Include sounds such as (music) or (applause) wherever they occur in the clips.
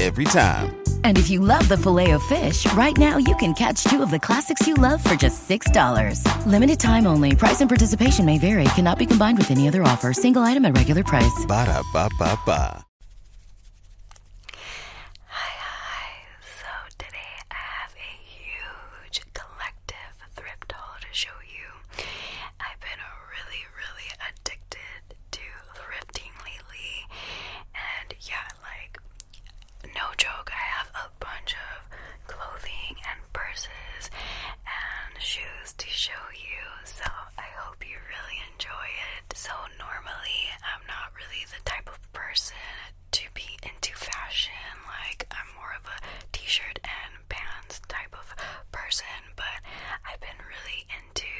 every time. And if you love the filet of fish, right now you can catch two of the classics you love for just $6. Limited time only. Price and participation may vary. Cannot be combined with any other offer. Single item at regular price. Ba da ba ba ba. Hi, So today I have a huge collective thrift haul to show you. I've been really, really addicted to thrifting lately. And yeah, like no joke, I have a bunch of clothing and purses and shoes to show you, so I hope you really enjoy it. So, normally, I'm not really the type of person to be into fashion, like, I'm more of a t shirt and pants type of person, but I've been really into,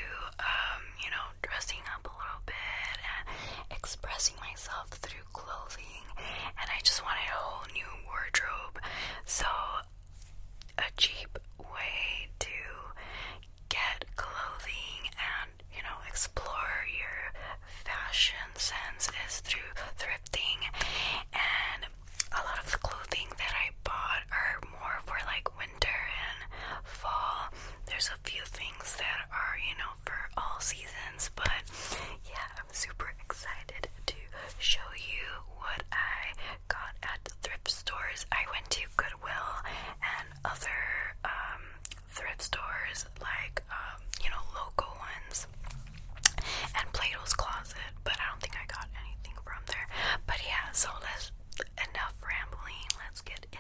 um, you know, dressing up a little bit expressing myself through clothing, and I just wanted a whole new wardrobe. So, a cheap way to get clothing and you know explore your fashion sense is through thrifting and a lot of the clothing that I bought are more for like winter and fall. There's a few things that are, you know, for all seasons, but yeah, I'm super excited to show you what I got at the thrift stores. I went to Goodwill and other um, thrift stores, like, um, you know, local ones, and Plato's Closet, but I don't think I got anything from there. But yeah, so let's enough rambling, let's get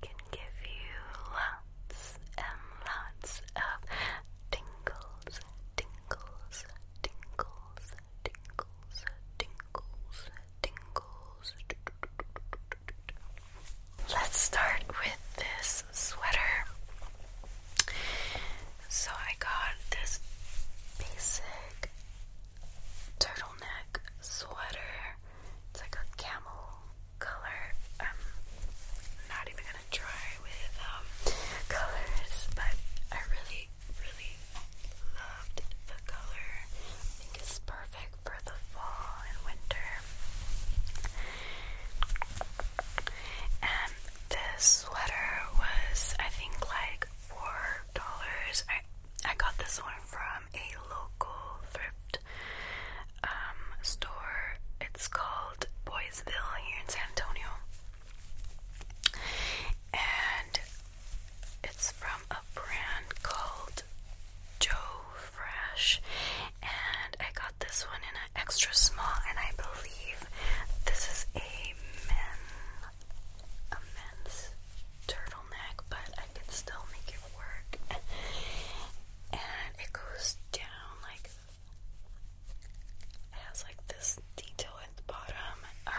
can give you lots and lots of tingles, tingles, tingles, tingles, tingles, tingles. Let's start with this sweater. So I got this basic turtleneck sweater. It's like a camel color. I'm not even gonna try with um, colors, but I really, really loved the color. I think it's perfect for the fall and winter. And this sweater was, I think, like four dollars. I I got this one from a local thrift um, store. It's called Boysville here in San Antonio. And it's from a brand called Joe Fresh. And I got this one in an extra small, and I believe this is a men, a men's turtleneck, but I can still make it work. (laughs) And it goes down like it has like this detail at the bottom. Um,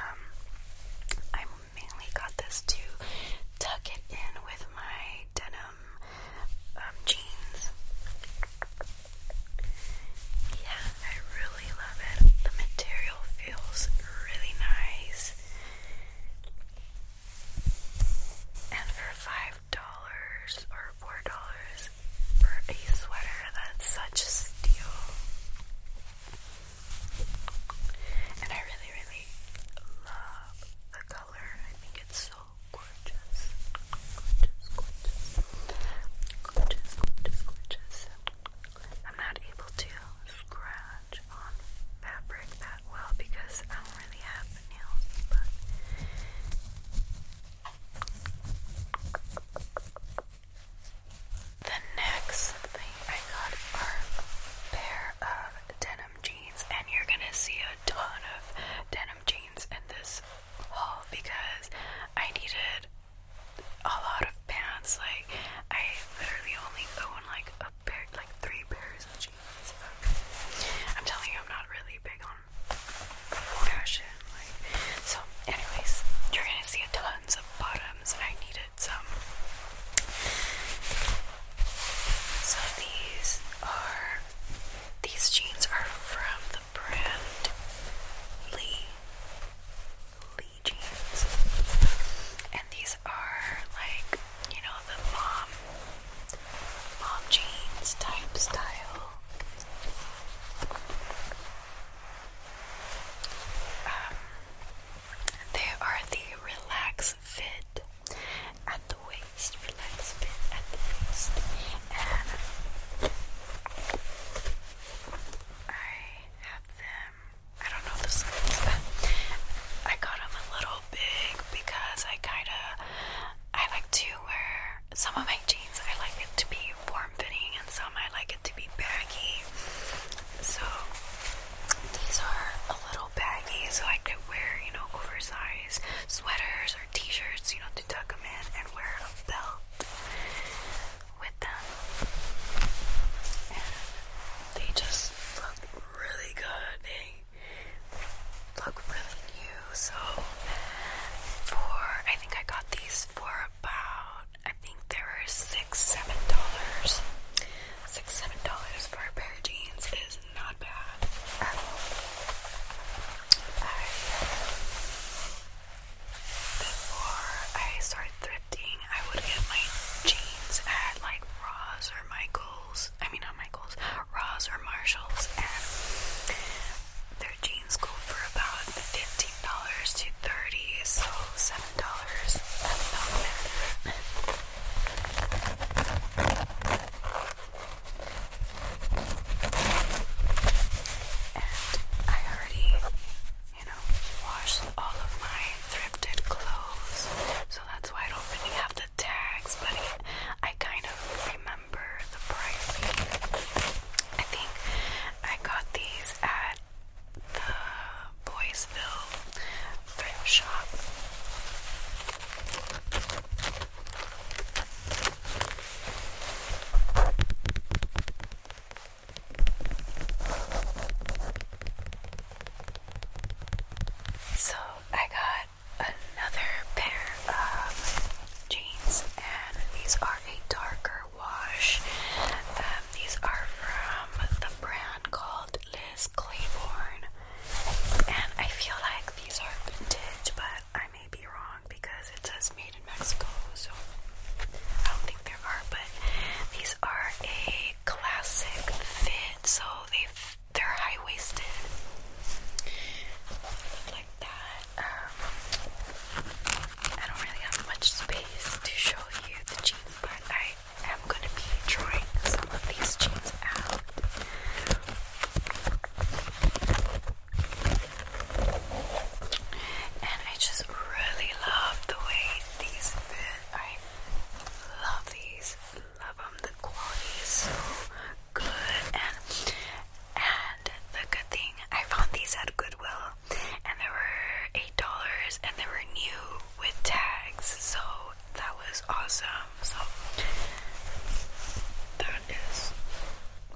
I mainly got this to tuck it in with my denim um, jeans. Yeah, I really love it. The material feels really nice. And for 5 dollars or four dollars for a sweater. That's such a steal. And I really, really love the color. I think it's so gorgeous. Gorgeous, gorgeous. Gorgeous, gorgeous, gorgeous. I'm not able to scratch on fabric that well because I don't really have the next thing I got are a pair of denim jeans, and you're gonna see a ton of denim jeans in this haul because I needed a lot of pants. Like I literally only own like a pair, like three pairs of jeans. I'm telling you, I'm not really big on fashion. so. Anyways, you're gonna see a tons of bottoms, and I needed some. So these are these jeans are from the brand Lee Lee jeans, and these are like you know the mom mom jeans type style. Um, they are the relax fit at the waist, relax fit at the waist, and I have them. I don't know the I got them a little big because I kind of I like to wear some of my jeans. I like it to be form fitting, and some I like it to be baggy. So these are a little baggy, so I could wear you know oversized sweaters or t-shirts, you know, to tuck them in and wear a belt with them. they just look really good. They look really new. So for I think I got these for about I think there were six, seven dollars. Six, seven dollars for a pair of jeans is not bad at all. before I started thrifting, I would get my jeans at like Ross or Michaels. I mean, not Michaels. Michaels, or Marshalls, and their jeans go for about fifteen dollars to thirty, so seven dollars. And I already, you know, washed all of my thrifted clothes, so that's why I don't really have the tags, but I kind of remember the pricing. I think I got these at the Boysville thrift shop. So I got another pair of jeans, and these are a darker wash. Um, these are from the brand called Liz Claiborne, and I feel like these are vintage, but I may be wrong because it says made in Mexico, so I don't think there are. But these are a classic fit, so they they're high waisted. Um, I don't really have much space to show you the jeans, but I am going to be drawing some of these jeans out. And I just really love the way these fit. I love these, love them. The quality is so good, and the good thing, I found these at Goodwill, and they were eight dollars, and they were new with tags, so that was awesome. So that is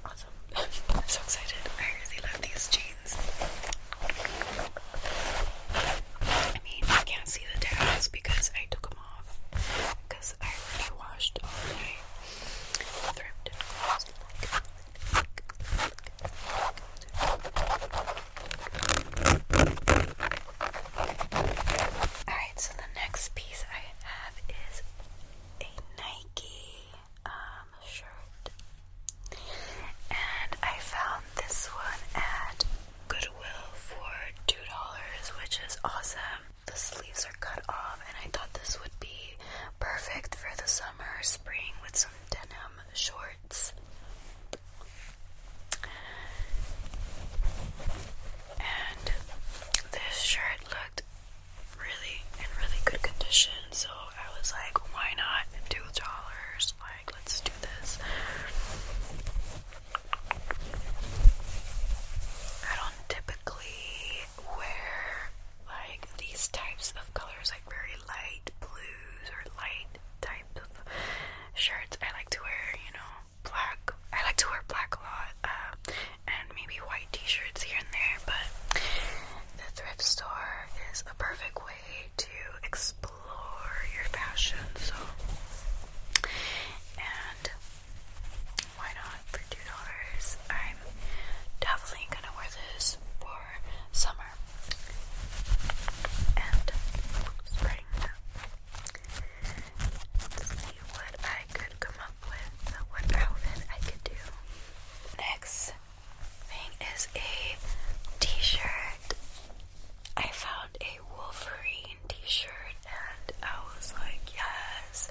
awesome. (laughs) I'm so excited. I really love these jeans. I mean, I can't see the tags because I took them off. I already washed all my thrifted clothes. Alright, so the next piece I have is a Nike um, shirt. And I found this one at Goodwill for $2, which is awesome the sleeves are cut off, and I thought this would be perfect for the summer, spring with some denim shorts. And this shirt looked really in really good condition, so I was like, why not do dollars? Like, let's do this. I don't typically wear like these types of colors, like very light blues or light types shirts. I like to wear, you know, black. I like to wear black a lot, um, and maybe white t-shirts here and there. But the thrift store is a perfect way to explore your fashion. So, and why not for two dollars? I'm definitely gonna wear this for summer and spring. see what I could come up with, what outfit I could do. Next thing is a t-shirt. I found a Wolverine t-shirt and I was like, yes,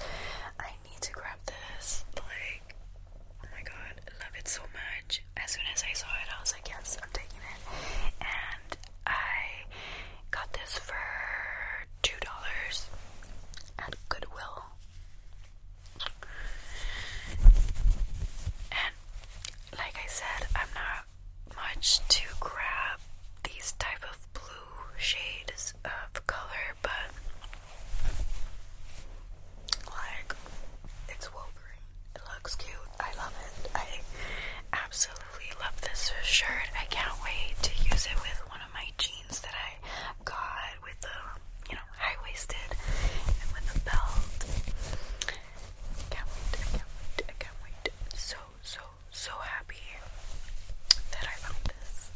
need to grab this. Like, oh my god, love it so much. As soon as I saw it, I was like, yes, I'm taking it. And I got this for two dollars at Goodwill. And like I said, I'm not much to grab these type of blue shades of color, but like it's Wolverine. It looks cute. I love it. I absolutely love this shirt. I can't wait to use it with one of my jeans that I got with the you know high waisted and with a belt. can't wait. can't wait. can't wait. So so so happy that I found this.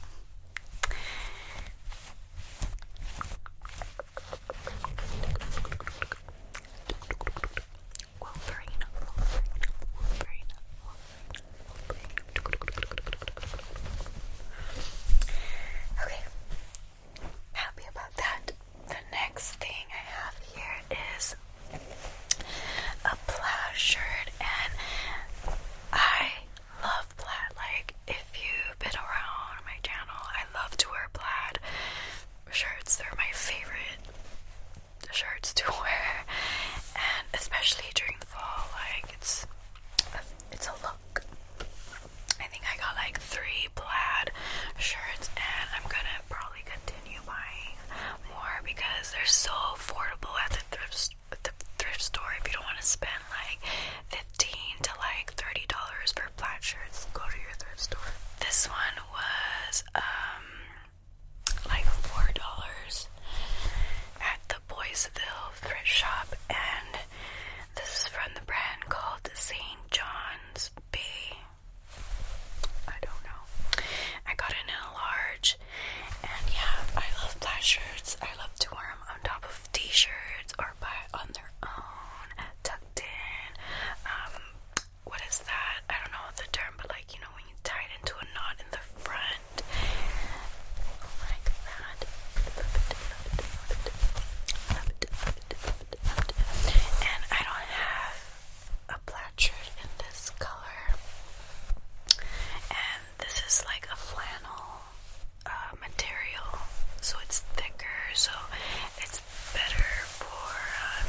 Okay. Happy about that. The next thing I have here is a plaid shirt, and I love plaid. Like, if you've been around my channel, I love to wear plaid shirts. They're my favorite shirts to (laughs) wear, and especially during the fall, like it's a, it's a look. I think I got like three plaid shirts, and I'm gonna probably continue buying more because they're so affordable at the thrift store the thrift store if you don't want to spend like 15 to like 30 dollars per plaid shirts go to your thrift store this one was um like four dollars at the boysville thrift shop and this is from the brand called st john's bay don't know i got it in a large and yeah, I love plaid shirts. I love to wear them on top of t-shirts or buy on their own, tucked in. Um, what is that? I don't know the term, but like you know when you tie it into a knot in the front, like that. And I don't have a plaid shirt in this color, and this is like a flannel uh, material, so it's thicker, so it's better for um,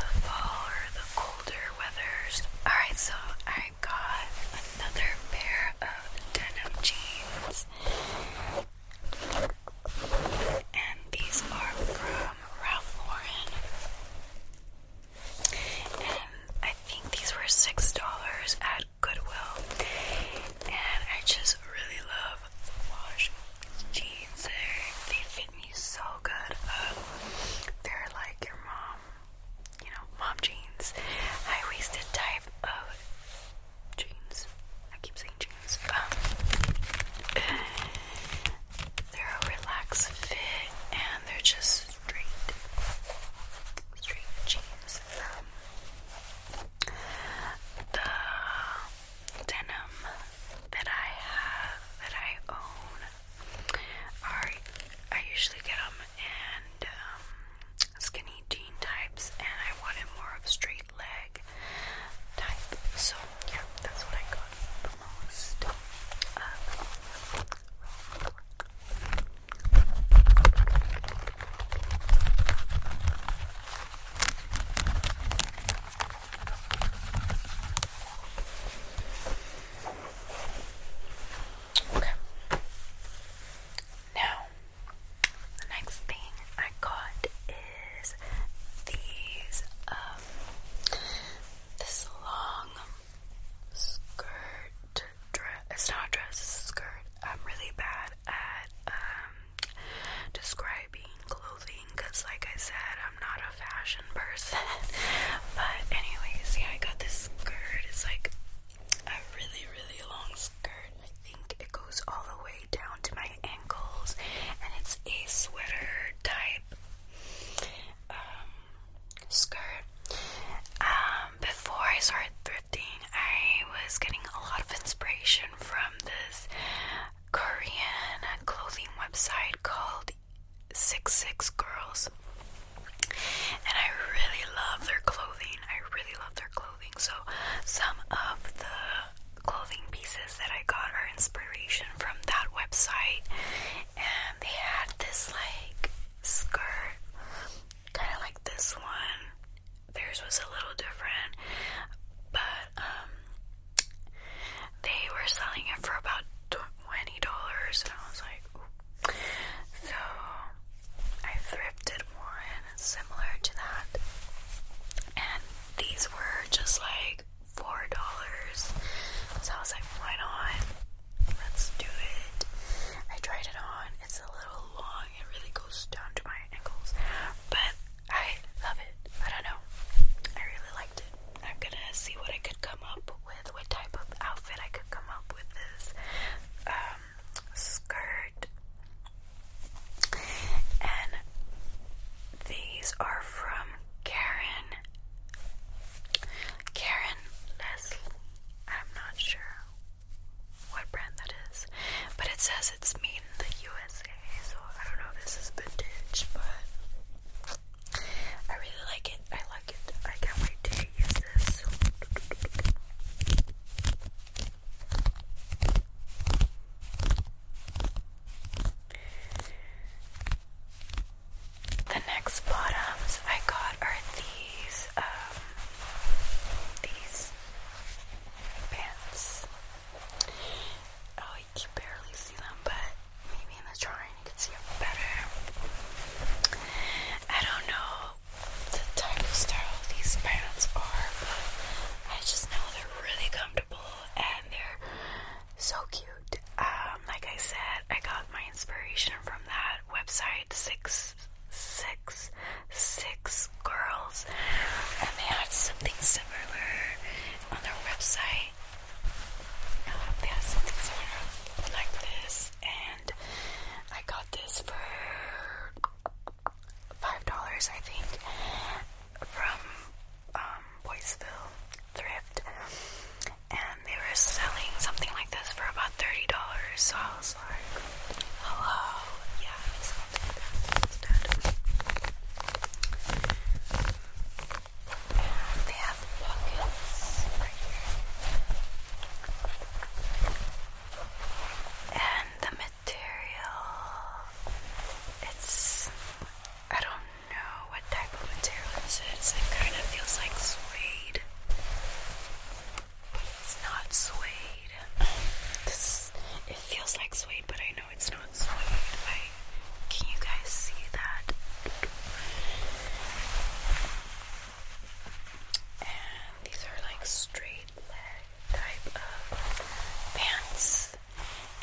the fall or the colder weathers. Alright, so I got another pair of denim jeans, and these are from Ralph Lauren and I think these were six dollars at Goodwill, and I just really love wash jeans. They, fit me so good. Um, they're like your mom, you know, mom jeans, high-waisted type of jeans. I keep saying jeans. Um, they're a relaxed fit, and they're just straight. Straight jeans, um, the denim that I have, that I own, are, I usually get them in um, skinny jean types, and I wanted more of straight leg type, so yeah, that's what I got most. Uh, Okay. Now, the next thing I got is these um, this long skirt dress. It's not a dress, it's a skirt. I'm really bad at um, describing clothing because, like I said, I'm not a fashion person. (laughs) but, anyways, yeah, I got this skirt. It's like a really, really long skirt. I think it goes all the way down to my ankles, and it's a sweater type. Um, skirt. Um, before I started thrifting, I was getting a lot of inspiration from this Korean clothing website called Six Six Girls, and I really love their clothing. I really love their clothing. So some of the clothing pieces that I got are inspiration from that website, and they had this like skirt kind of like this one. Theirs was a little different, but um, they were selling it for about twenty dollars, and I was like, so I thrifted one similar to that, and these were just like four dollars. So I was like, why not? Let's do it. I tried it on. It's a little long. It really goes down to my ankles. But I love it. I don't know. I really liked it. I'm gonna see what I could come up with, what type of outfit I could come up with this um, skirt. And these are from Karen. Karen Leslie. I'm not sure what brand that is, but it says it's made in the USA, so I don't know if this is vintage, but I really like it. I like it. I can't wait to use this. The next bottoms I got are these um, these pants. Oh, you can barely see them, but maybe in the drawing you can see them better. I don't know the type of style these pants are, but I just know they're really comfortable and they're so cute. Um, like I said, I got my inspiration from that website, six six six, girls, and they had something similar on their website. Um, they had something similar like this, and I got this for five dollars, I think, from um, Boysville Thrift, and they were selling something like this for about thirty dollars. So I was hello, yeah, they have pockets And the material, it's, I don't know what type of material it is. It kind of feels like suede. It's not suede. it feels like suede, but I know it's not suede. can you guys see that? And these are like straight leg type of pants,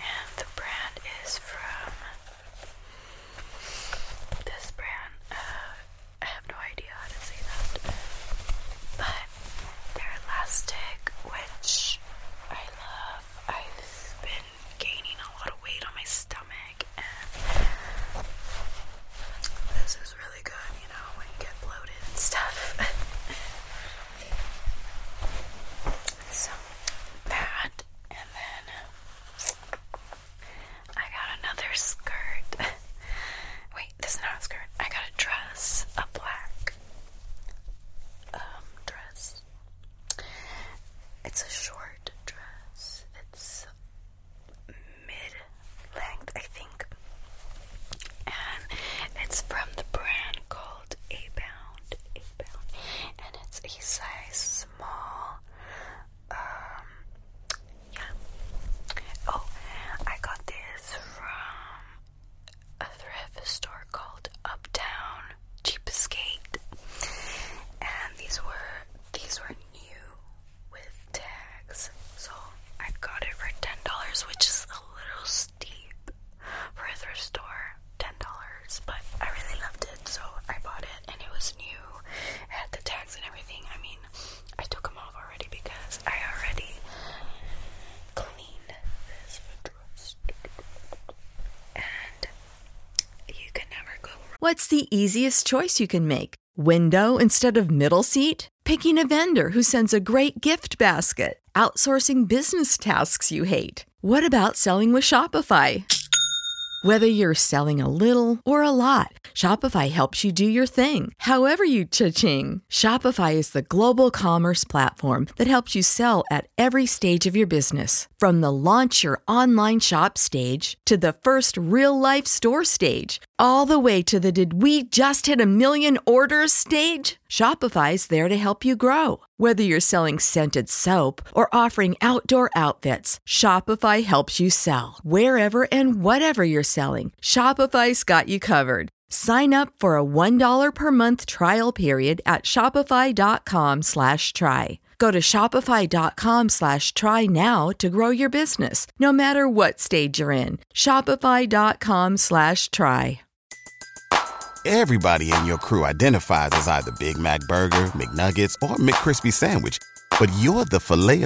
and the brand is from this brand. Uh, I have no idea how to say that. But they're elastic, which I love. I've been gaining a lot of weight on my stomach, and this is really good, you know, when you get bloated stuff. (laughs) so, that, and then I got another skirt. (laughs) we this is not a skirt. I got a dress, a black um, dress. It's a short dress. It's mid-length, I think. And it's from the brand called A Bound. A Bound. And it's a size small. Um, yeah. Oh, I got this from a thrift store called Uptown Cheapskate, and these were these were new with tags, so I got it for ten dollars, which is a little steep for a thrift store. Ten dollars, but I really loved it, so I bought it, and it was new. It had the tags and everything. I mean. What's the easiest choice you can make? Window instead of middle seat? Picking a vendor who sends a great gift basket? Outsourcing business tasks you hate? What about selling with Shopify? Whether you're selling a little or a lot, Shopify helps you do your thing, however you cha-ching. Shopify is the global commerce platform that helps you sell at every stage of your business. From the launch your online shop stage to the first real life store stage, all the way to the did we just hit a million orders stage? Shopify is there to help you grow. Whether you're selling scented soap or offering outdoor outfits, Shopify helps you sell. Wherever and whatever you're selling, Shopify's got you covered. Sign up for a $1 per month trial period at shopify.com slash try. Go to shopify.com slash try now to grow your business, no matter what stage you're in. Shopify.com slash try. Everybody in your crew identifies as either Big Mac Burger, McNuggets, or McCrispy Sandwich, but you're the filet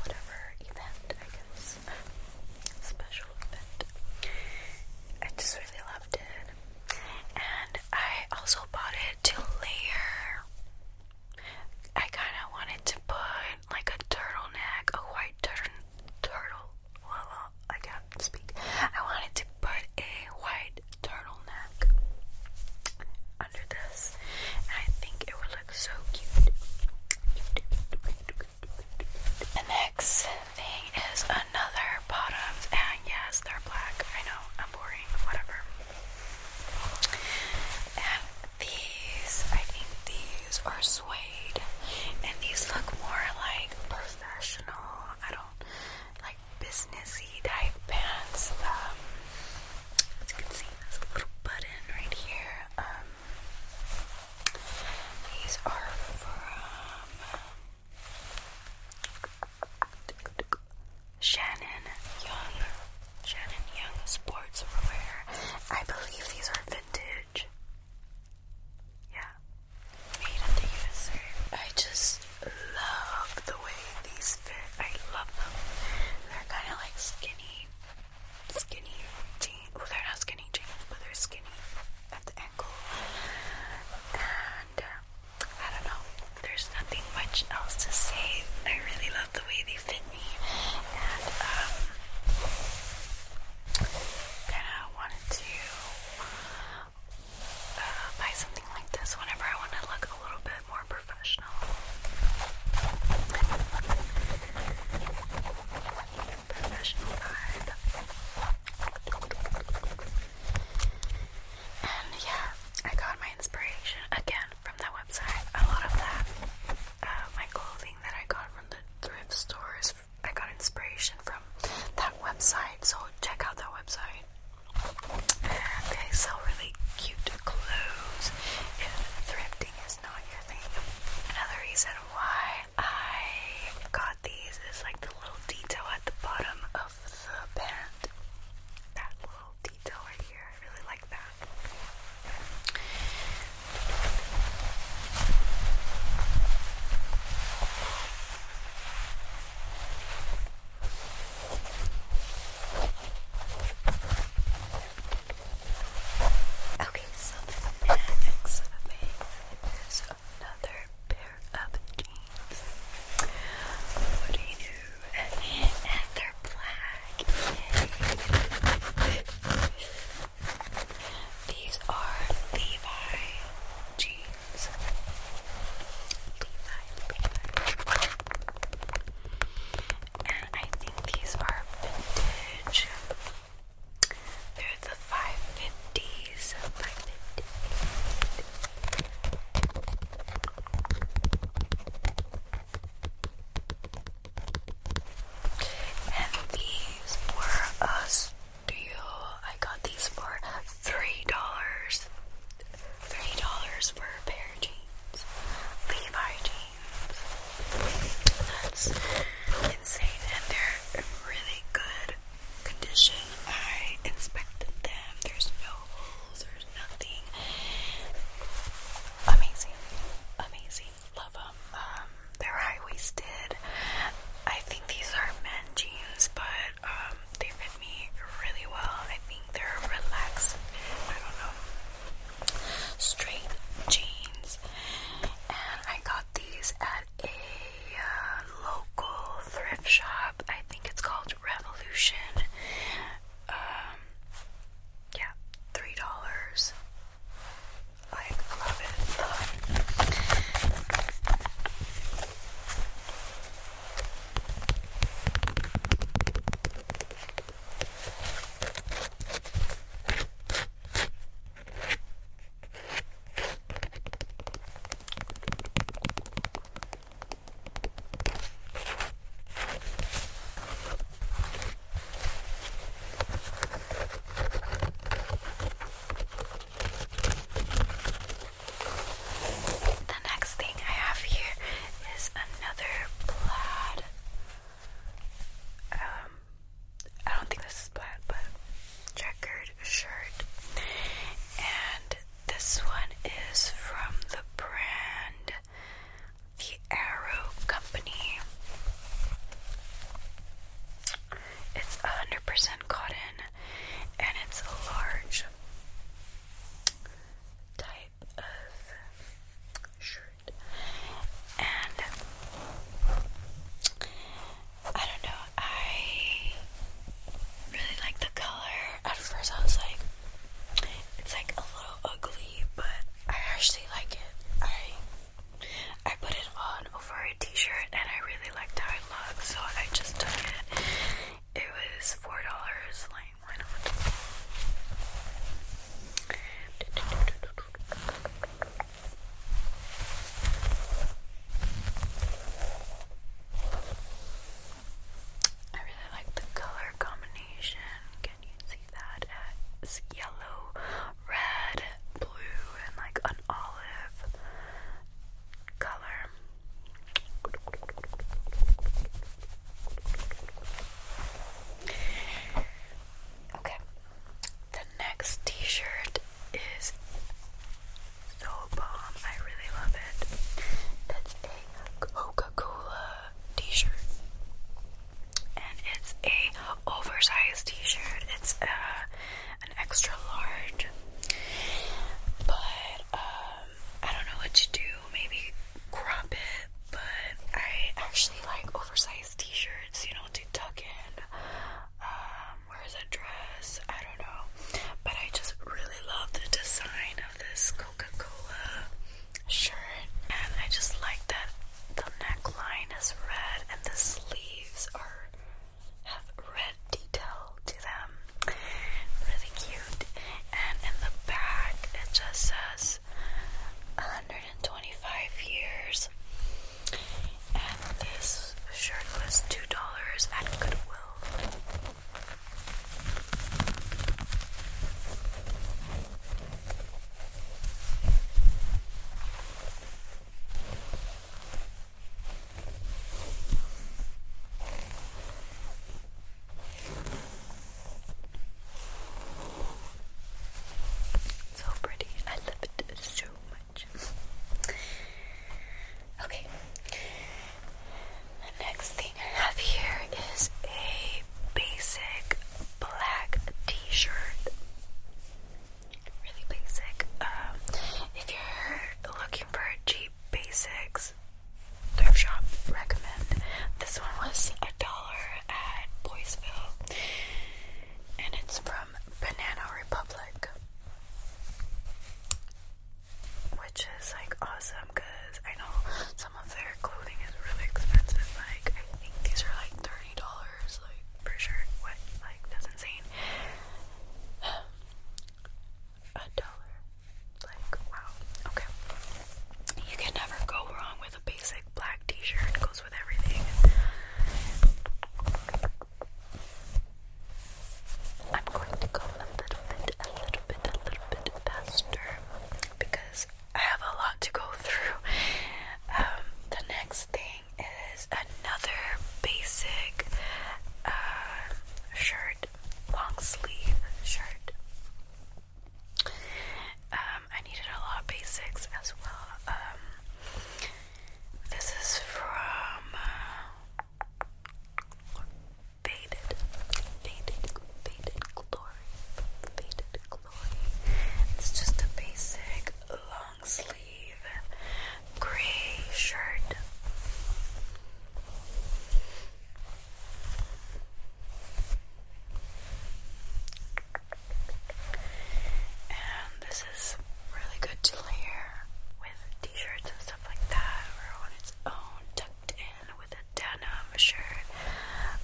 whatever event, I guess, special event. I just really loved it. And I also bought it to layer. I kind of wanted to put like a turtleneck, a white turtle, turtle. Well, I can't speak. I wanted to put a white turtleneck under this, I think it would look so cute. The next thing is another bottoms, and yes, they're black. I know, I'm boring, whatever. And these, I think these are suede, and these look more like professional, I don't like businessy type pants. Um, as you can see, there's little button right here. Um, these are from Shannon Young. Shannon Young Sportswear. I believe these are vintage. Yeah, made in the USA. I just love the way these fit. I love them. They're kind of like skinny skinny jeans. Well, they're not skinny jeans, but they're skinny at the ankle. And uh, I don't know. There's nothing much else to say. I really love the way they fit me, and um, kind of wanted to uh, buy something like this whenever I want to look a little bit more professional. Professional vibe. And yeah, I got my inspiration again from that website. A lot of that, uh, my clothing that I got from the thrift stores, I got inspiration from that website. So check out that website. They sell really cute clothes in thrift Another reason why I got these is like the little detail at the bottom of the band. That little detail right here. I really like that. Okay, so the next thing is another pair of jeans. What do you do? And they're black. These are Levi jeans. I think these are vintage. They're the 550s. 550. And these were a steal. I got these for three dollars. Three dollars for a pair of jeans. Levi jeans. That's insane, and they're in really good condition. I inspected them. There's no holes. There's nothing. Amazing, amazing. Love them. Um, they're high waisted. I think these are men jeans, but um, they fit me really well. I think they're relaxed. I don't know straight jeans, and I got these at a uh, local thrift shop. I think it's called Revolution. Um, yeah, three dollars. I love it. The next thing I have here is another plaid um, I don't think this is black, but checkered shirt. And this one is from the brand The Arrow Company. It's 100% cotton and it's a large. Tight of shirt. And I don't know, I really like the color. At first, I was like, it's like a little ugly, but I actually like it. I I put it on over a t-shirt and I really liked how it looked, so I just took it. It was four dollars, like why not? I really like the color combination. Can you see that? It's yellow, red, blue, and like an olive color. Okay. The next t-shirt is so bomb. I really love it. It's a Coca-Cola t-shirt. And it's a oversized t-shirt. It's uh, an extra large. But um, I don't know what to do. Maybe crop it, but I actually like oversized t-shirts, you know, to tuck in. Um, where's a dress? I don't know. But I just really love the design of this Coca-Cola shirt. And I just like that the neckline is red and the sleeves are have red detail to them. Really cute. And in the back it just says 125 years, and this shirt was two dollars at Goodwill. So pretty. I love it so much. Okay. next thing I have here is a basic black t-shirt. Really basic. Um, if you're looking for cheap basics, thrift shop recommend. This one was a dollar at Boysville, and it's from Banana Republic, which is like awesome because I know some of their clothing is really expensive. Like I think these are like thirty dollars, like for sure. What? Like that's insane. (sighs) A dollar. Like wow. Okay. You can never go wrong with a basic black t-shirt goes with everything. I'm going to go a little a little bit, a little bit faster because I have a lot to go through. Um, the next thing is another basic uh, shirt, long sleeve shirt. Um, I needed a lot of basics as well. Um, this is from uh, Faded, Faded, Glory, Faded Glory. It's just a basic long sleeve gray shirt. And this is really good to layer with t-shirts and stuff like that, or on its own, tucked in with a denim shirt,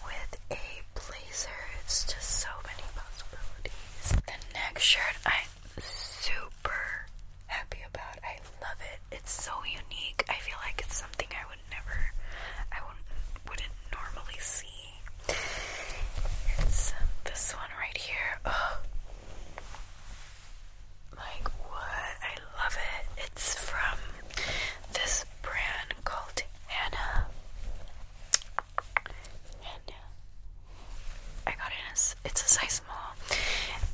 with a blazer. It's just so many possibilities. The next shirt I'm super happy about. I love it. It's so unique. I feel like it's something I would never, I wouldn't, normally see it's uh, this one right here. Oh. Like, what? I love it. It's from this brand called Anna. Hannah. I got it. As, it's a size small.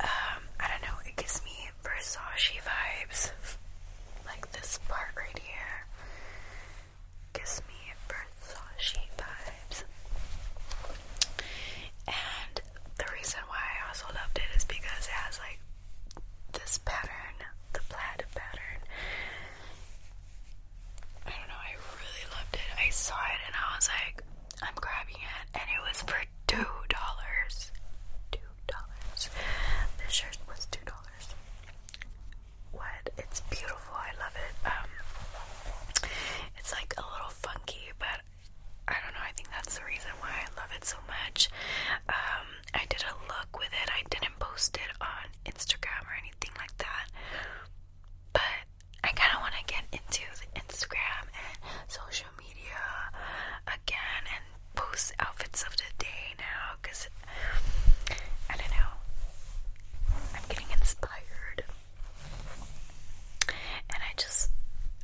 Um, I don't know. It gives me Versace vibes. Like this part right here gives me Versace vibes. And the reason why I also loved it is because it has like this pattern, the plaid pattern. I don't know, I really loved it. I saw it and I was like, I'm grabbing it, and it was for two dollars. Two dollars. This shirt was two dollars wood. It's beautiful. I love it. Um, it's like a little funky, but I don't know. I think that's the reason why I love it so much. Um, I did a look with it. I didn't post it on Instagram or anything like that, but I kind of want to get into the Instagram and social media again and post outfits of the day now because I don't know. I'm getting inspired. And I just,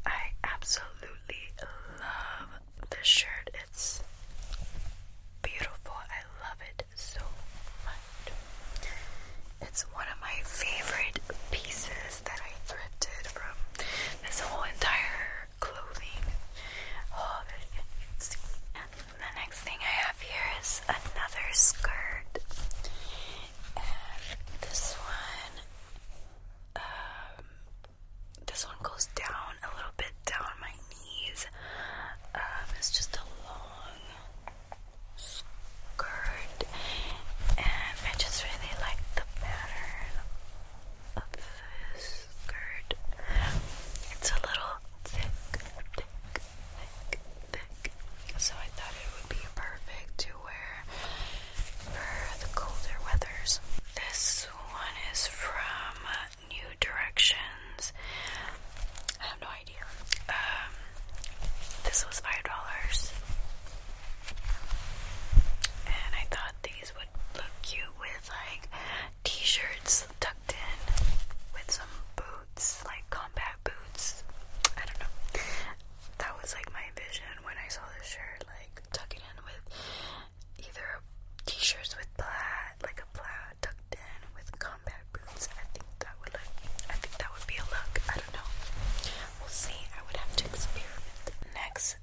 I absolutely love this shirt. It's beautiful. I love it so much. It's one of my favorite pieces that I thrifted from this whole entire clothing haul oh, that the next thing I have here is another skirt, this one, um, this one goes down a little bit down my knees. Um, it's just a long skirt, and I just really like the pattern of this skirt. It's a little thick. So I thought it would be perfect to wear for the colder weathers. This one is from New Directions. I have no idea. Um, this was five dollars, and I thought these would look cute with like t-shirts tucked tucked in with some boots, like combat boots. I don't know. That was like my vision when I saw this shirt, like tucking in with either t-shirts with plaid, like a plaid tucked in with combat boots. I think that would look. I think that would be a look. I don't know. We'll see. I would have to experiment. Next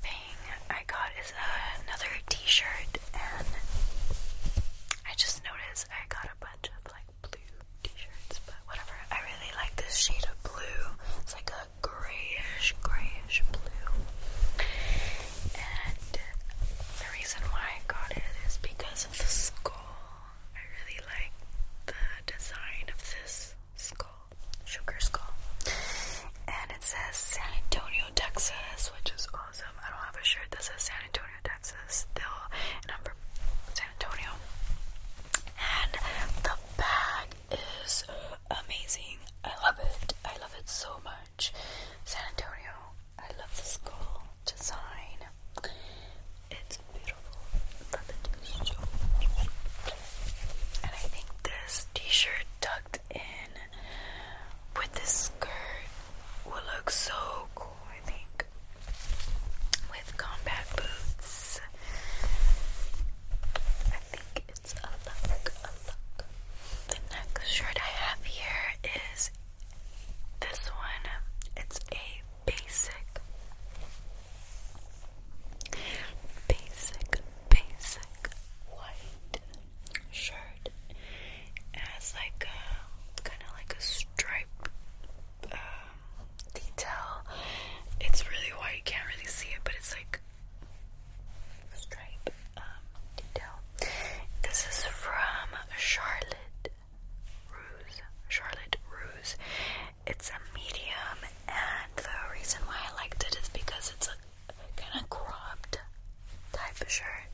thing I got is another t-shirt, and I just know notice I got a bunch of like blue t-shirts, but whatever. I really like this shade of blue. It's like a grayish, grayish blue. And the reason why I got it is because of the skull. I really like the design of this skull, sugar skull. And it says San Antonio, Texas, which is awesome. I don't have a shirt that says San Antonio, Texas still, and San Antonio. And the bag is amazing. I love it. I love it so much. San Antonio. I love the skull design. It's beautiful. I love it so much. And I think this t-shirt tucked in with this skirt would look so cool, I think, with combat boots. I think it's a look, a look. The next shirt I have here is this one. It's a basic, basic, basic white shirt. has like kind of like a stripe um, detail. It's really white, can't really see it, but it's like stripe um, detail. This is from Charlotte Ruse. Charlotte Ruse. It's a medium, and the reason why I liked it is because it's a kind of cropped type of shirt,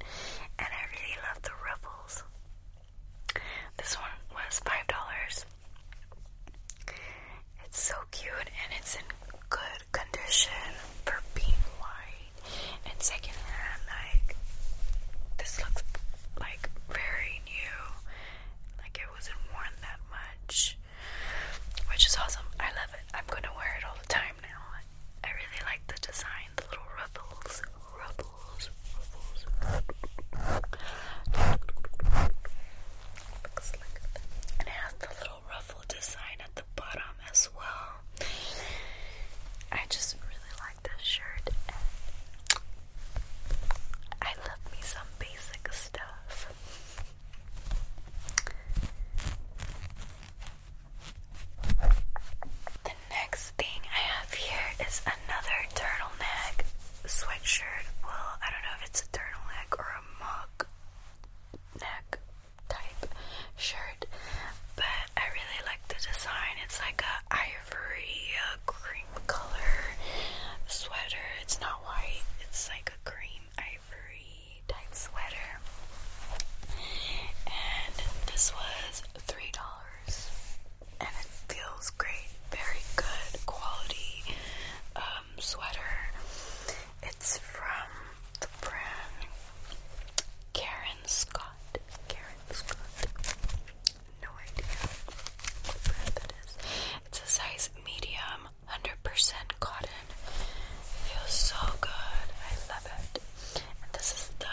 and I really love the ruffle this one was five dollars. It's so cute and it's in good condition for being white and secondhand. Like this looks like very new. Like it wasn't worn that much, which is awesome. I love it. I'm gonna wear it all the time now. I really like the design, the little ruffles, ruffles, ruffles. And it has the little ruffle design at the bottom as well. I just really like this shirt, I love me some basic stuff. The next thing I have here is another turtleneck sweatshirt. Well, I don't know if it's a turtleneck or a mock neck type shirt, but I really like the design. It's like a ivory a cream color sweater. It's not white. It's like a cream ivory type sweater. And this was $3 and it feels great. Very good quality um, sweater. It's from the brand Karen Scott. Karen Scott. No idea what brand that is. It's a size medium, 100% cotton. It feels so good. I love it. And this is the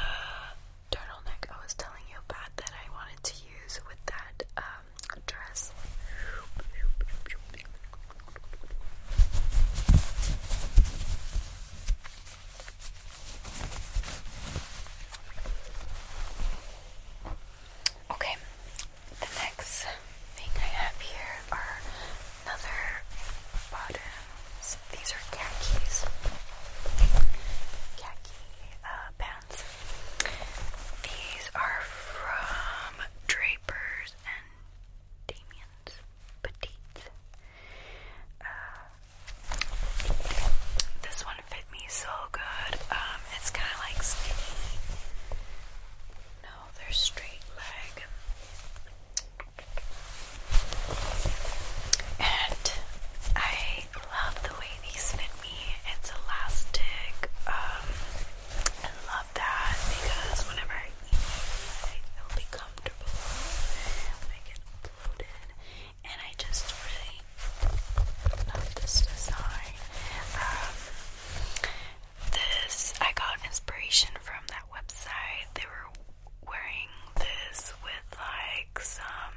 turtleneck I was telling you about that I wanted to use with that um, dress. Okay, the next thing I have here are another bottom these are khakis, khaki uh, pants. These are from Drapers and Damien's Petite. Uh, this one fit me so good. Um, it's kind of like skinny. No, they're straight leg. And I love the way these fit me. It's elastic. Um, I love that because whenever I eat, it'll be comfortable when I get bloated. And I just really love this design. Um, this I got inspiration from that website. They were wearing this with like some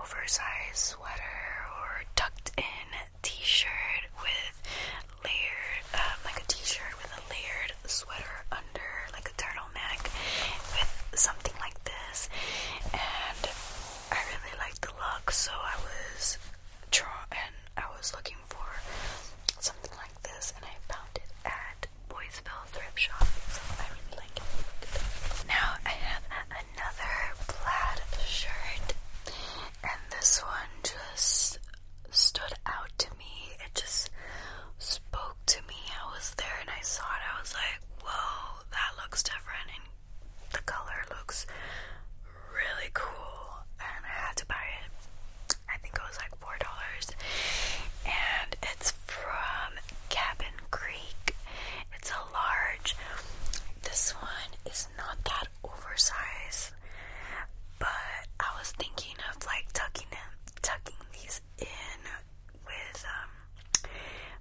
oversized sweater or tucked in t-shirt with layered, um, like a t-shirt with a layered sweater under, like a turtleneck with something like this. And I really liked the look, so I was drawn and I was looking for something like this, and I found it at Boysville Thrift Shop, I really like it. Now I have another plaid shirt, and this one just stood out to me. It just spoke to me. I was there and I saw it. I was like, whoa, that looks different, and the color looks really cool. And I had to buy it. I think it was like $4. And it's from Cabin Creek. It's a large. This one is not that oversized, but I was thinking of like tucking them, tucking these in with um,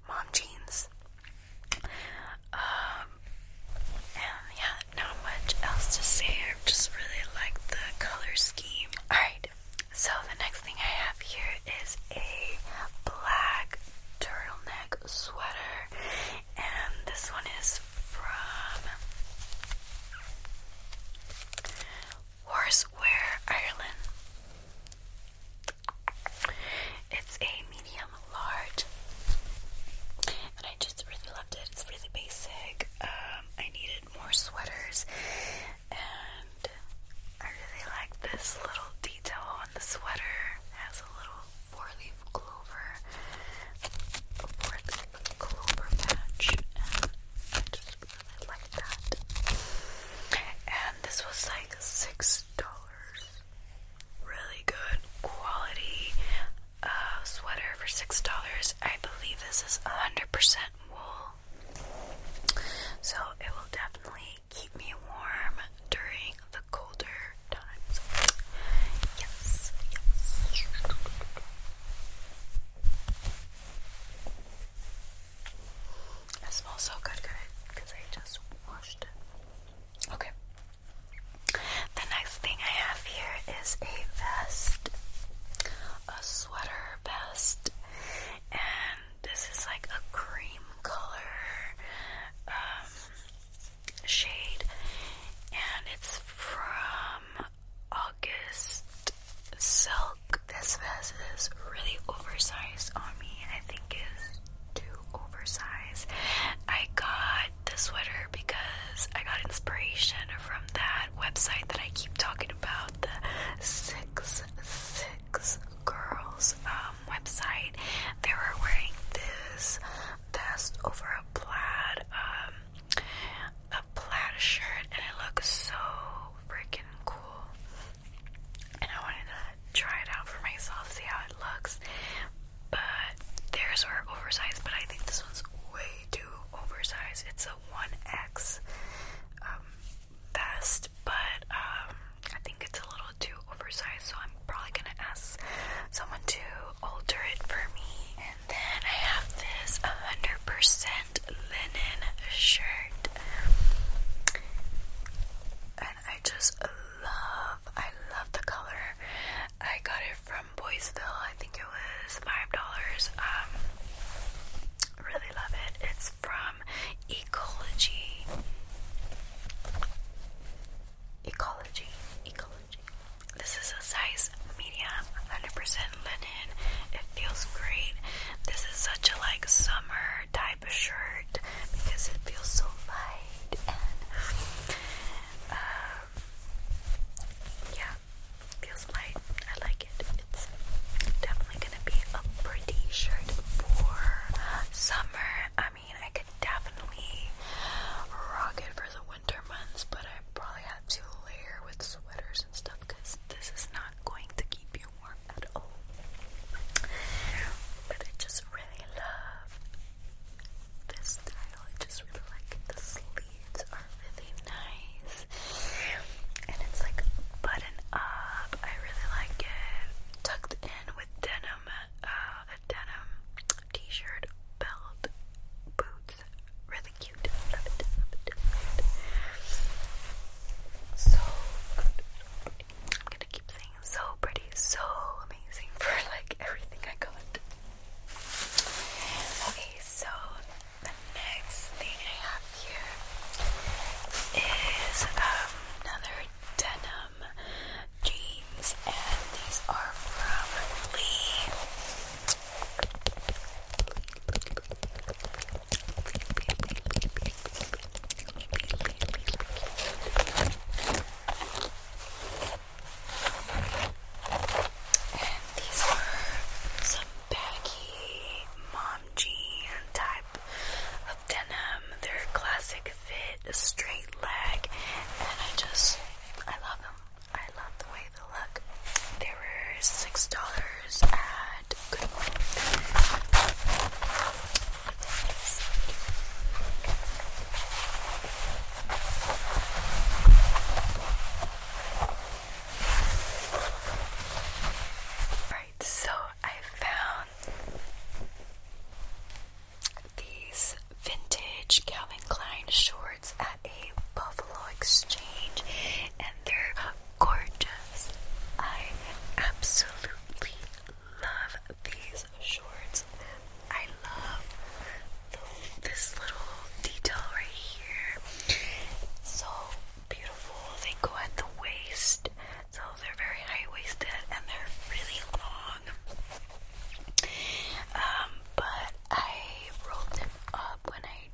mom jeans. Um, and yeah, not much else to say. I just really like the color scheme. Alright, so the next thing I have here is a black turtleneck sweater, and this one is from Horseware, Ireland. It's a medium large, and I just really loved it. It's really basic. Um, I needed more sweaters, and I really like this little detail on the sweater. has a little four-leaf clover, four-leaf clover patch, and I just really like that. And this was like six dollars. Really good quality uh, sweater for six dollars. I believe this is hundred percent wool, so it will definitely keep me warm during the colder times. Yes, yes. It smells so good, good, because I just washed it. Okay. The next thing I have here is a vest, a sweater vest, and this is like a cream color um, shade, and it's from August Silk. This vest is really oversized on me. I think it's too oversized. I got the sweater because I got inspiration from that website that I keep talking about, the six six girls um, website, they were wearing this vest over a plaid, um, a plaid shirt, and it looks so freaking cool. And I wanted to try it out for myself, see how it looks. But theirs were oversized, but I think this one's way too oversized. It's a 1X vest, but um, I think it's a little too oversized, so I'm probably gonna ask someone to alter it for me. And then I have this 100% linen shirt, I just love, I love the color. I got it from Boysville. I think it was five dollars. Um, really love it. It's from Ecology. Ecology. Ecology. This is a size medium, 100% linen. It feels great. This is such a like summer type of shirt because it feels so light and um, yeah, feels light. I like it. It's definitely gonna be a pretty shirt for summer. I mean, I could definitely rock it for the winter months, but I probably have to layer with sweaters and stuff because this is not going to keep you warm at all. But I just really love this style. I just really like The sleeves are really nice. And it's like button up. I really like it tucked in with denim, uh, a denim t-shirt, belt, boots. Really cute. So I'm gonna keep saying so pretty, so amazing (laughs) for like everything I got. Okay, so the next thing I here is um, another denim jeans, and these are from Lee. And these are some baggy mom jean type denim. They're classic fit, straight leg, and I just I love them. I love the way they look. They were six dollars at Goodwill. Alright, so I found these vintage Calvin Klein shorts at a Buffalo Exchange, and they're gorgeous. I absolutely love these shorts. I love the, this little detail right here. So beautiful. They go at the waist. So they're very high waisted and they're really long. Um, but I rolled them up when I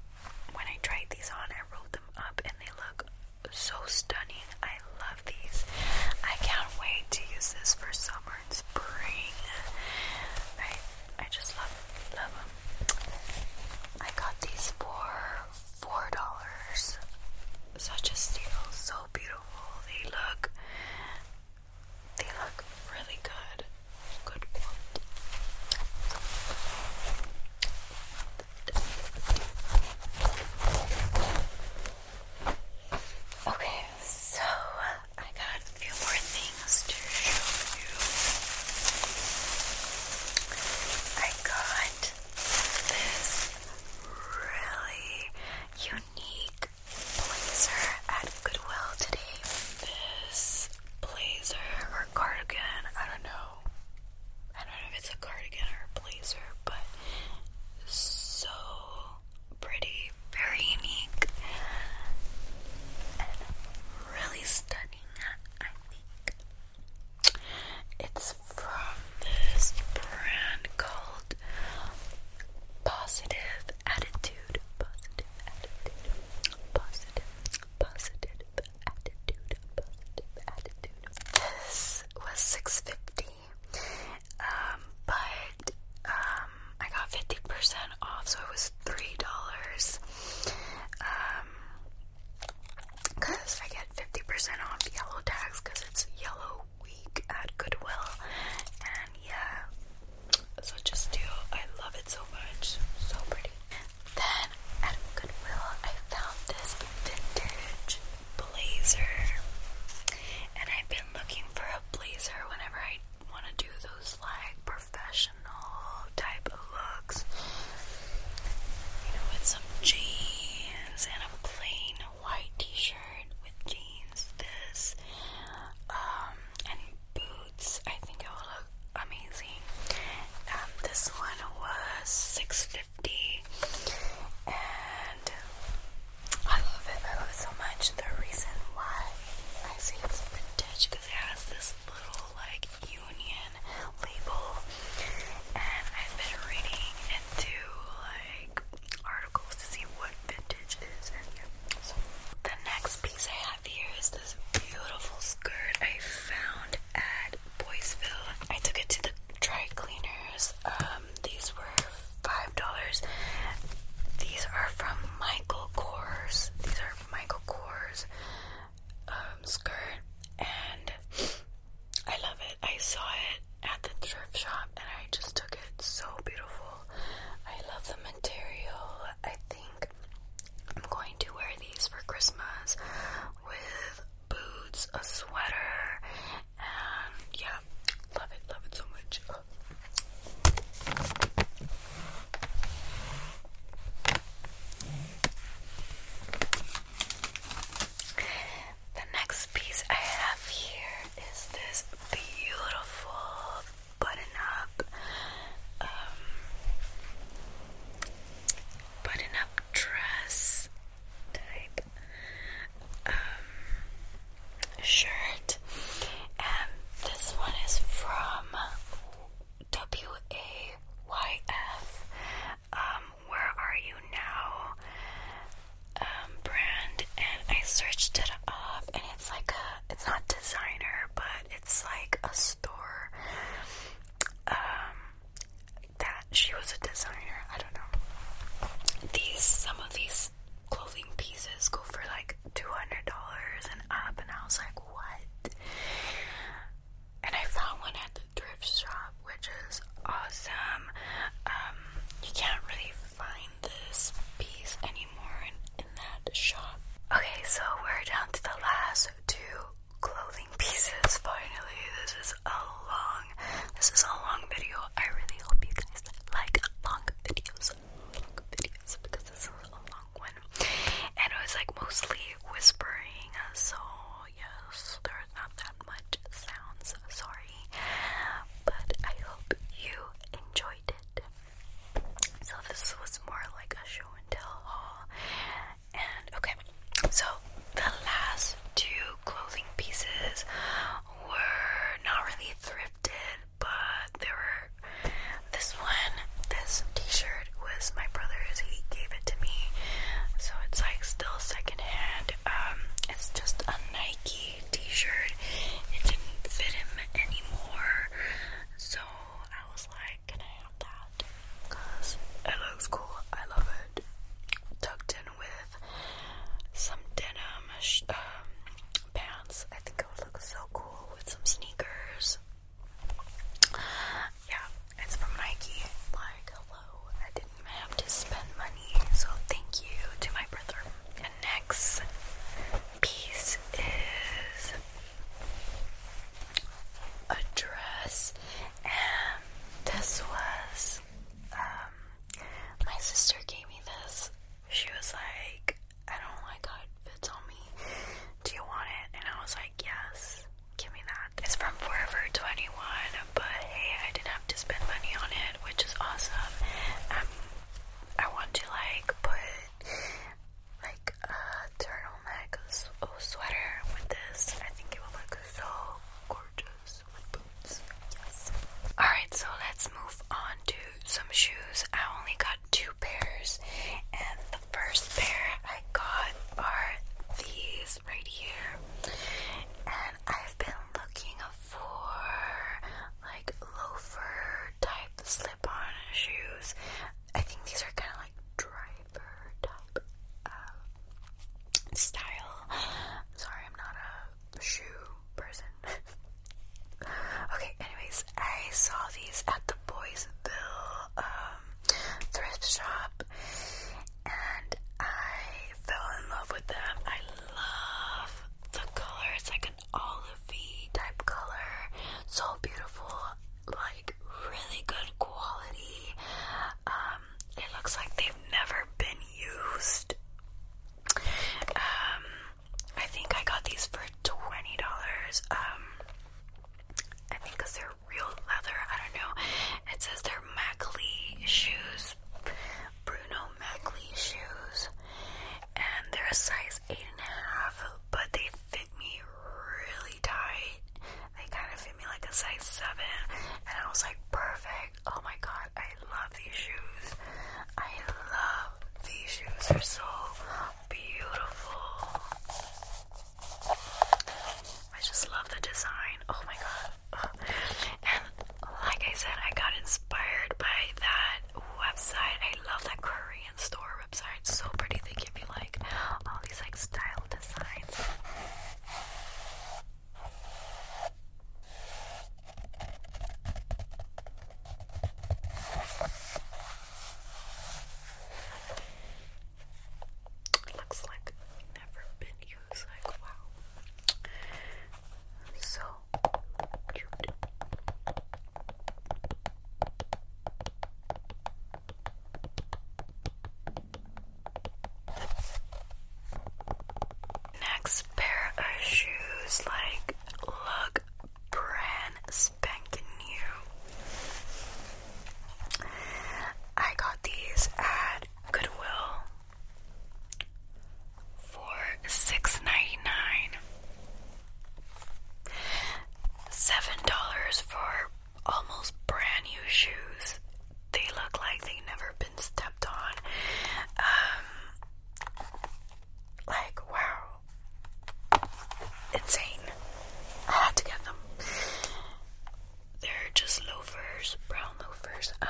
when I tried these on. I rolled them up and they look so stunning. I love these. I can't wait to use this for summer and spring. I I just love love them. I got these for four dollars. Such a steal, so beautiful. They look they look really good. Good quality. Okay, so I got a few more things to show you. I got this really unique blazer at Goodwill today. This blazer or cardigan, I don't know. I don't know if it's a cardigan or a blazer, but so pretty, very unique, really stunning, I think. It's from this brand called Positive Attitude. Positive Attitude. Positive, positive attitude. Positive attitude. This was six fifty, um, but um, I got fifty percent off, so it was three dollars. Um, because I get 50% off yellow tags because it's yellow week at Goodwill. And yeah, so just do. I love it so much. So pretty. Then at Goodwill, I found this vintage blazer. And I've been looking for a blazer whenever I want to do those like professional type of looks. You know, with some jeans and a plain white t-shirt with jeans, this, um, and boots. I think it will look amazing. Um, this one was six fifty, and I love it. I love it so much. The reason why I say it's vintage because it has this little like union label, and I've been reading into like articles to see what vintage is and yeah. So the next piece I have here is this beautiful skirt I found at Boysville. I took it to the dry cleaners. Um, these were five dollars. These are from Michael Kors. These are Michael Kors um, skirt and I love it. I saw it at the thrift shop and I just took it. So beautiful. I love the material. I think I'm going to wear these for Christmas with boots, a sweater, and yeah, love it, love it so much. The next piece I have here is this beautiful button up, um, button up dress type um, shirt. And this one is from WAYF, um, where are you now um, brand, and I searched it up, and it's like a it's not designer, but it's like a store um, that she was a designer. I don't know. These some of these clothing pieces go for like two hundred dollars and up, and I was like, what? And I found one at Drift shop, which is awesome. Um, you can't really find this piece anymore in that shop. Okay, so we're down to the last two clothing pieces. Finally, this is a long, this is a long video. I really hope you guys like long videos, long videos because this is a long one, and it was like mostly whispering. So yes, there's not that much sounds, sorry. But I hope you enjoyed it. So this was more like a show and tell haul. And okay, so the last two clothing pieces were not really thrifted, but there were this one, this t-shirt was my brother's, he gave it to me. So it's like still secondhand um, it's just a Nike t-shirt. It didn't fit him anymore, so I was like, "Can I have that?" Cause it looks cool. I love it. Tucked in with some denim um, pants. I think it would look so cool with some sneakers. Yeah, it's from Nike. Like, hello, did have to spend money, so thank you to my brother. And next piece is a dress, and this was um, my sister gave me this. She was like, I don't like how it fits on me. Do you want it? And I was like, Yes, give me that. It's from Forever 21 but hey, I didn't have to spend money on it, which is awesome. Um, I want to like put like a turtleneck sweater with this. I think it will look so gorgeous with boots. Yes. Alright, so let's move on to some shoes. I only got two pairs, and the first pair I got are these right here, and I've been looking for like loafer type slip on shoes. I think these are kind of like driver type um, style. Sorry, I'm not a shoe person. (laughs) okay, anyways, I saw these at the Boysville um, thrift shop, and I fell in love with them. I love the color. It's like an olivey type color. So beautiful, like really good quality. Um, it looks like they've never been used. Um, I think I got these for twenty dollars. Um, I think because they're real leather. I don't know. It says they're Macley shoes. Bruno Mackley shoes, and they're a size eight and a half, but they fit me really tight. They kind of fit me like a size seven, and I was like, perfect. Oh my god, I love these shoes. I love these shoes. They're so beautiful. I just love the design. Oh my god like I said, I got inspired by that website. I love that Korean store website. It's so pretty. They give you like all these like style designs. Looks like never been used. Like wow. So cute. Next pair of shoes, like, look brand spanking new. I got these at Goodwill for six ninety nine. Seven dollars for almost brand new shoes. They look like they've never been stepped on. Um, like wow, insane. I had to get them. They're just loafers, brown loafers. Um,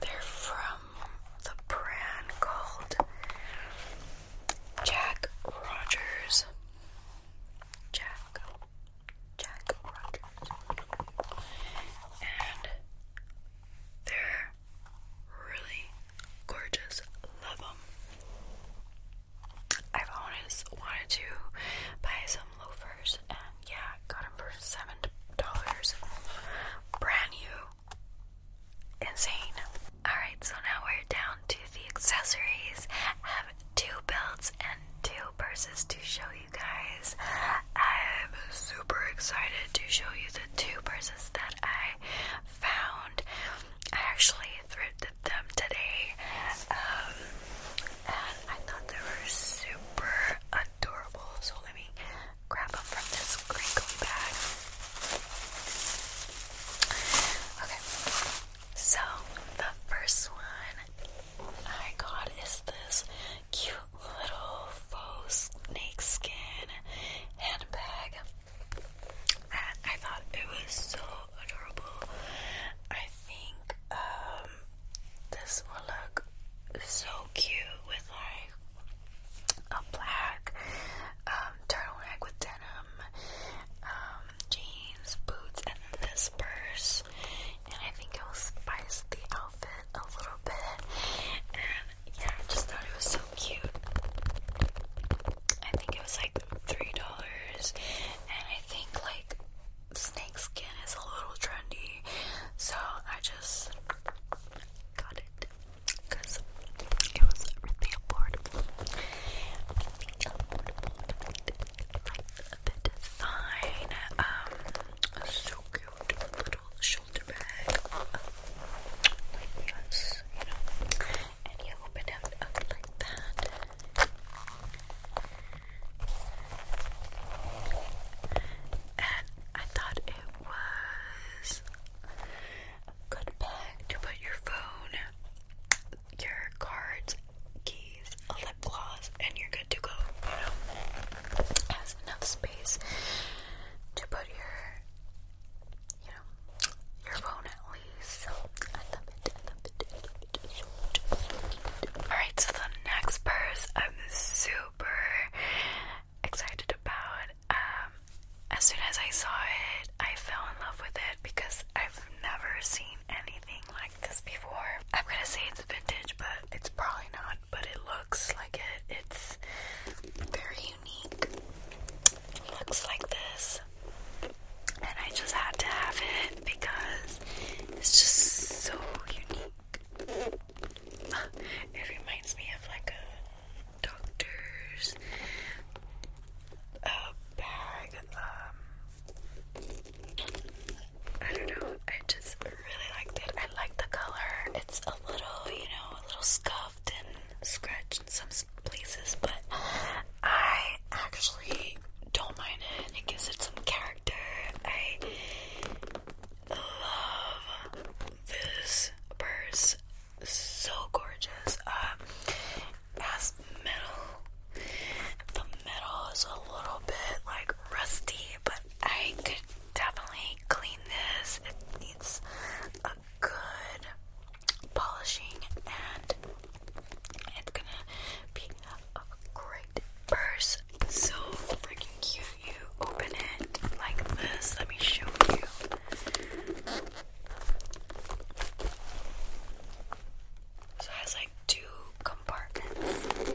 they're from the brand called Jack Rogers. Jack. Jack Rogers. And they're really gorgeous. Love them. I've always wanted to buy some loafers, and yeah, got them for seven dollars, brand new, insane. All right, so now we're down to the accessories. I have two belts and two purses to show you guys. I'm super excited to show you the two purses that I found. I actually thrifted them today. Um, and I thought they were super adorable. So let me grab them from this crinkly bag. Okay, so the first one I got is this cute little faux snake handbag. And I thought it was so adorable. I think um, this will look so cute with like a black um, turtleneck with denim, um, jeans, boots, and this purse. And I think it will spice the outfit a little bit. And yeah, I just thought it was so cute. I think it was like three dollars, and I think like snake skin is a little trendy, so I just got it because it was really affordable. the design, um, so cute little shoulder bag. yes, you know, and you open it up like that and I thought it was good bag to put your phone, your cards, keys, a lip gloss, and you're good to go. You know, has enough space to put your, you know, your phone at least. Alright, so the next purse I'm super super excited about. Um, as soon as I saw it, I fell in love with it because I've never seen anything like this before. I'm gonna say it's vintage, but it's probably not, but it looks like it. It's very unique. It looks like this. And I just had to have it because it's just so unique it reminds me of like a doctor's bag. Um, I don't know. I just really liked it. I like the color. It's a little, you know, a little scuffed and scratched in some places, but I actually don't mind it. It gives it some character. I love this purse. So gorgeous. Um, has metal. The metal is a little bit like rusty, but I could definitely clean this. It needs a good polishing, and it's gonna be a great perfect purse. So freaking cute. You open it like this. Let me show you. So it has like two compartments.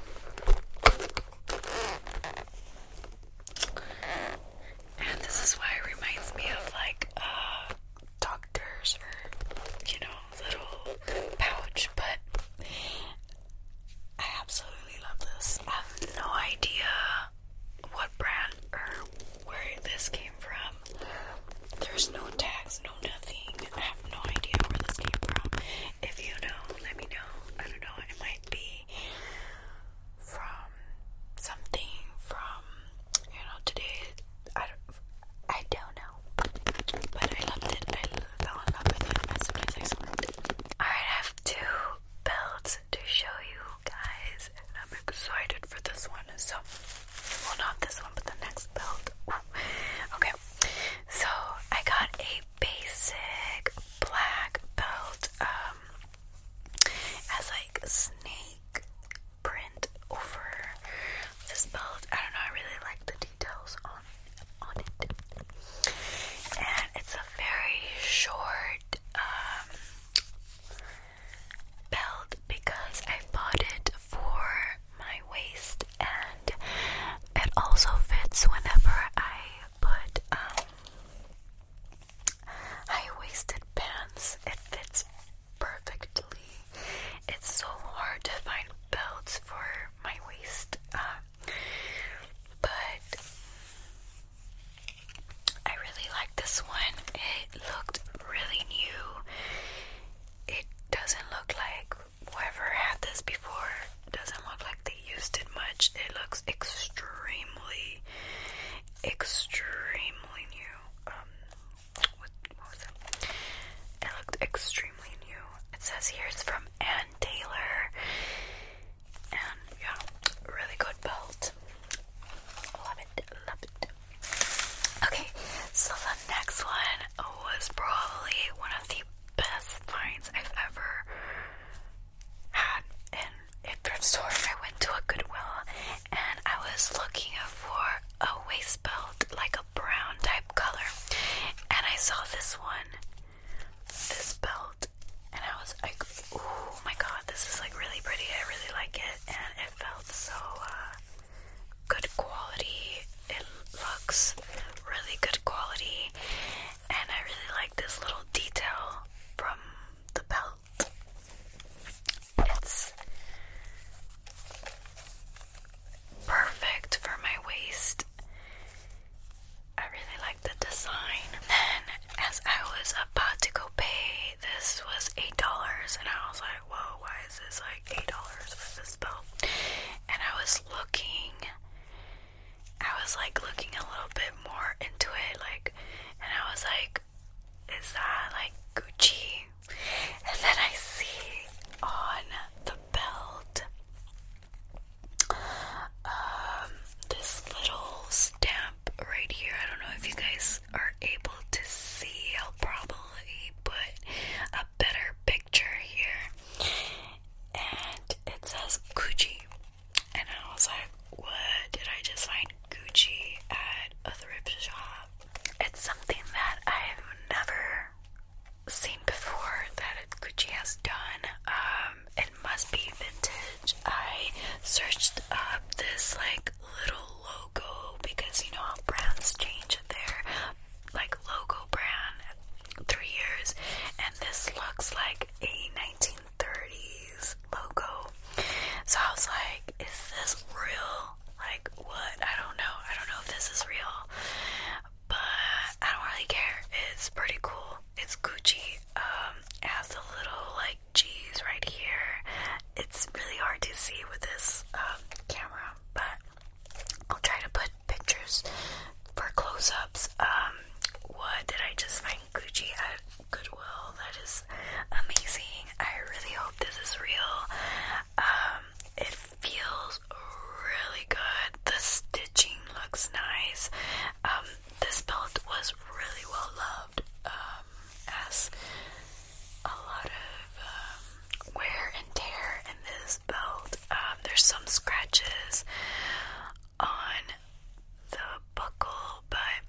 And this is why it reminds me of like uh doctors or you know little pouch, but I absolutely love this. I have no idea what brand or where this came from. There's no tags, no nothing. I have no idea where this came from. If you know, let me know. I don't know. It might be from something from you know today. I don't. I don't know. But I love it. I fell in love with it as soon as I it. Alright, I have two belts to show you guys. And I'm excited for this one. So, well, not this one, but the next belt. Okay, so I got a basic black belt. Um, as like snake print over this belt. I don't know. I really like the details on on it. And it's a very short um, belt because I bought it for my waist and it also fits whenever I put um, high waisted pants. It fits perfectly. It's so hard to find belts for my waist. Um, but I really like this one. It looked really new. It doesn't look like whoever had this before doesn't look like they used it much. It looks extremely extremely new. Um, it looked extremely new. It says here's from Anne Taylor and yeah, really good belt. Love it, love it. Okay, so the next one was probably one of the best finds I've ever had in a thrift store. I went to a Goodwill and I was looking for a waist belt, like a brown type color, and I saw this one this belt and I was like, oh my god, this is like really pretty. I really like it and it felt so uh, good quality. It looks really good quality and I really like this little detail from the belt. It's perfect for my waist I really like the design. Then, as I was about to go pay, this was eight dollars, and I was like, "Whoa, why is this like eight dollars for this belt?" And I was looking, I was like looking a little bit more into it, like, and I was like, "Is that like Gucci?" And then I see on the belt um, this little stamp right here. I don't know if you guys are able to see. I'll probably put a better picture here. And it says Gucci. And I was like, what? Did I just find Gucci at a thrift shop? It's something that I've never seen before that Gucci has done. Um, um, it must be vintage. I searched up this like little logo because you know how brands change their like logo brand three years, and this looks like a 1930s logo. So I was like, is this real? Like, what? I don't know. I don't know if this is real, but I don't really care. It's pretty cool. It's Gucci. Um, it has a little like G's right here. It's really hard to see with this um, camera, but I'll try to put pictures for close-ups. Um, what did I just find Gucci at Goodwill? That is amazing. I really hope this is real. it feels really good. The stitching looks nice this belt was really well loved, um, as a lot of um, wear and tear in this belt. Um, there's some scratches on the buckle, but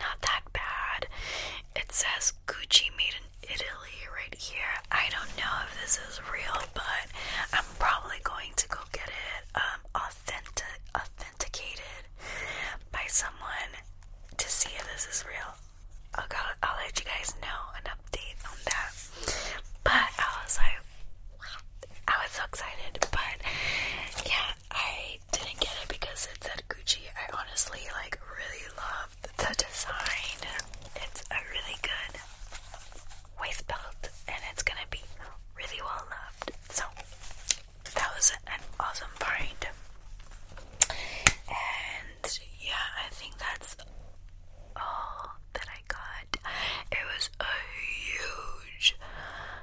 not that bad. It says Gucci made in Italy right here. I don't know if this is real, but I'm probably going to go get it. Um, authenticated by someone to see if this is real. I'll, I'll let you guys know an update on that. But I was like, I was so excited, but yeah, I didn't get it because it said Gucci. I honestly like really love the design. It's a really good waist belt and it's gonna be really well loved. So that was an awesome find. And yeah, I think that's all that I got. It was a huge,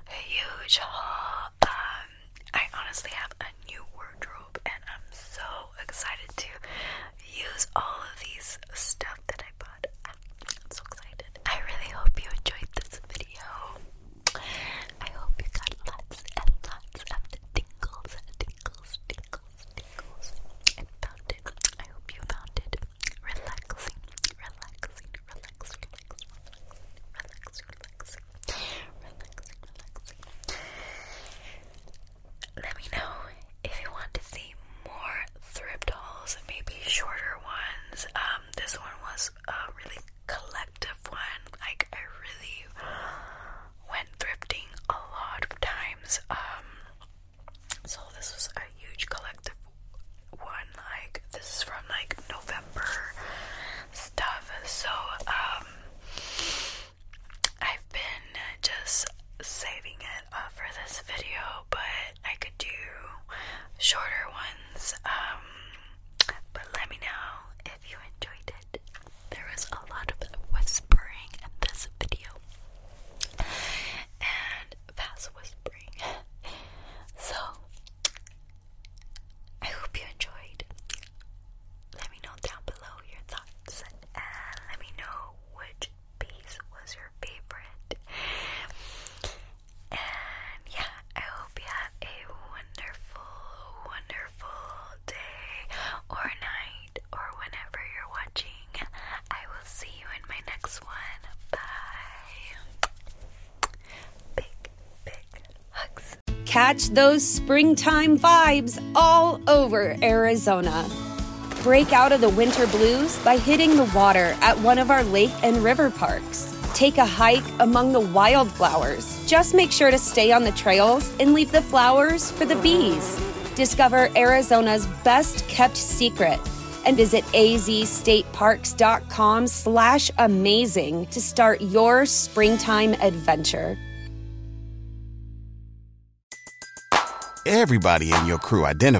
huge haul. Um, I honestly have a new wardrobe and I'm so excited to use all of these stuff that I bought. I'm so excited. I really hope you enjoyed this video. I hope you got lots and lots of tingles, tingles, tingles, tingles. I found it. I hope you found it relaxing, relaxing, relax, relaxing, relaxing, relaxing. Let me know if you want to see more thrift hauls, maybe shorter ones. Um, um, this one was a really collective one. Like I really went thrifting a lot of times. Um, so this was a huge collective one. Like this is from like November stuff. So um, I've been just saving it uh, for this video, but I could do shorter ones. Um, but let me know if you enjoyed it. There was a lot of whispering in this video, and fast whispering. so I hope you enjoyed. Let me know down below your thoughts, and let me know which piece was your favorite. And yeah, I hope you have a wonderful, wonderful day or night or whenever you're watching. I will see you in my next one. Bye. Big, big hugs. Catch those springtime vibes all over Arizona. Break out of the winter blues by hitting the water at one of our lake and river parks take a hike among the wildflowers. Just make sure to stay on the trails and leave the flowers for the bees. Discover Arizona's best kept secret and visit azstateparks.com slash amazing to start your springtime adventure. Everybody in your crew identifies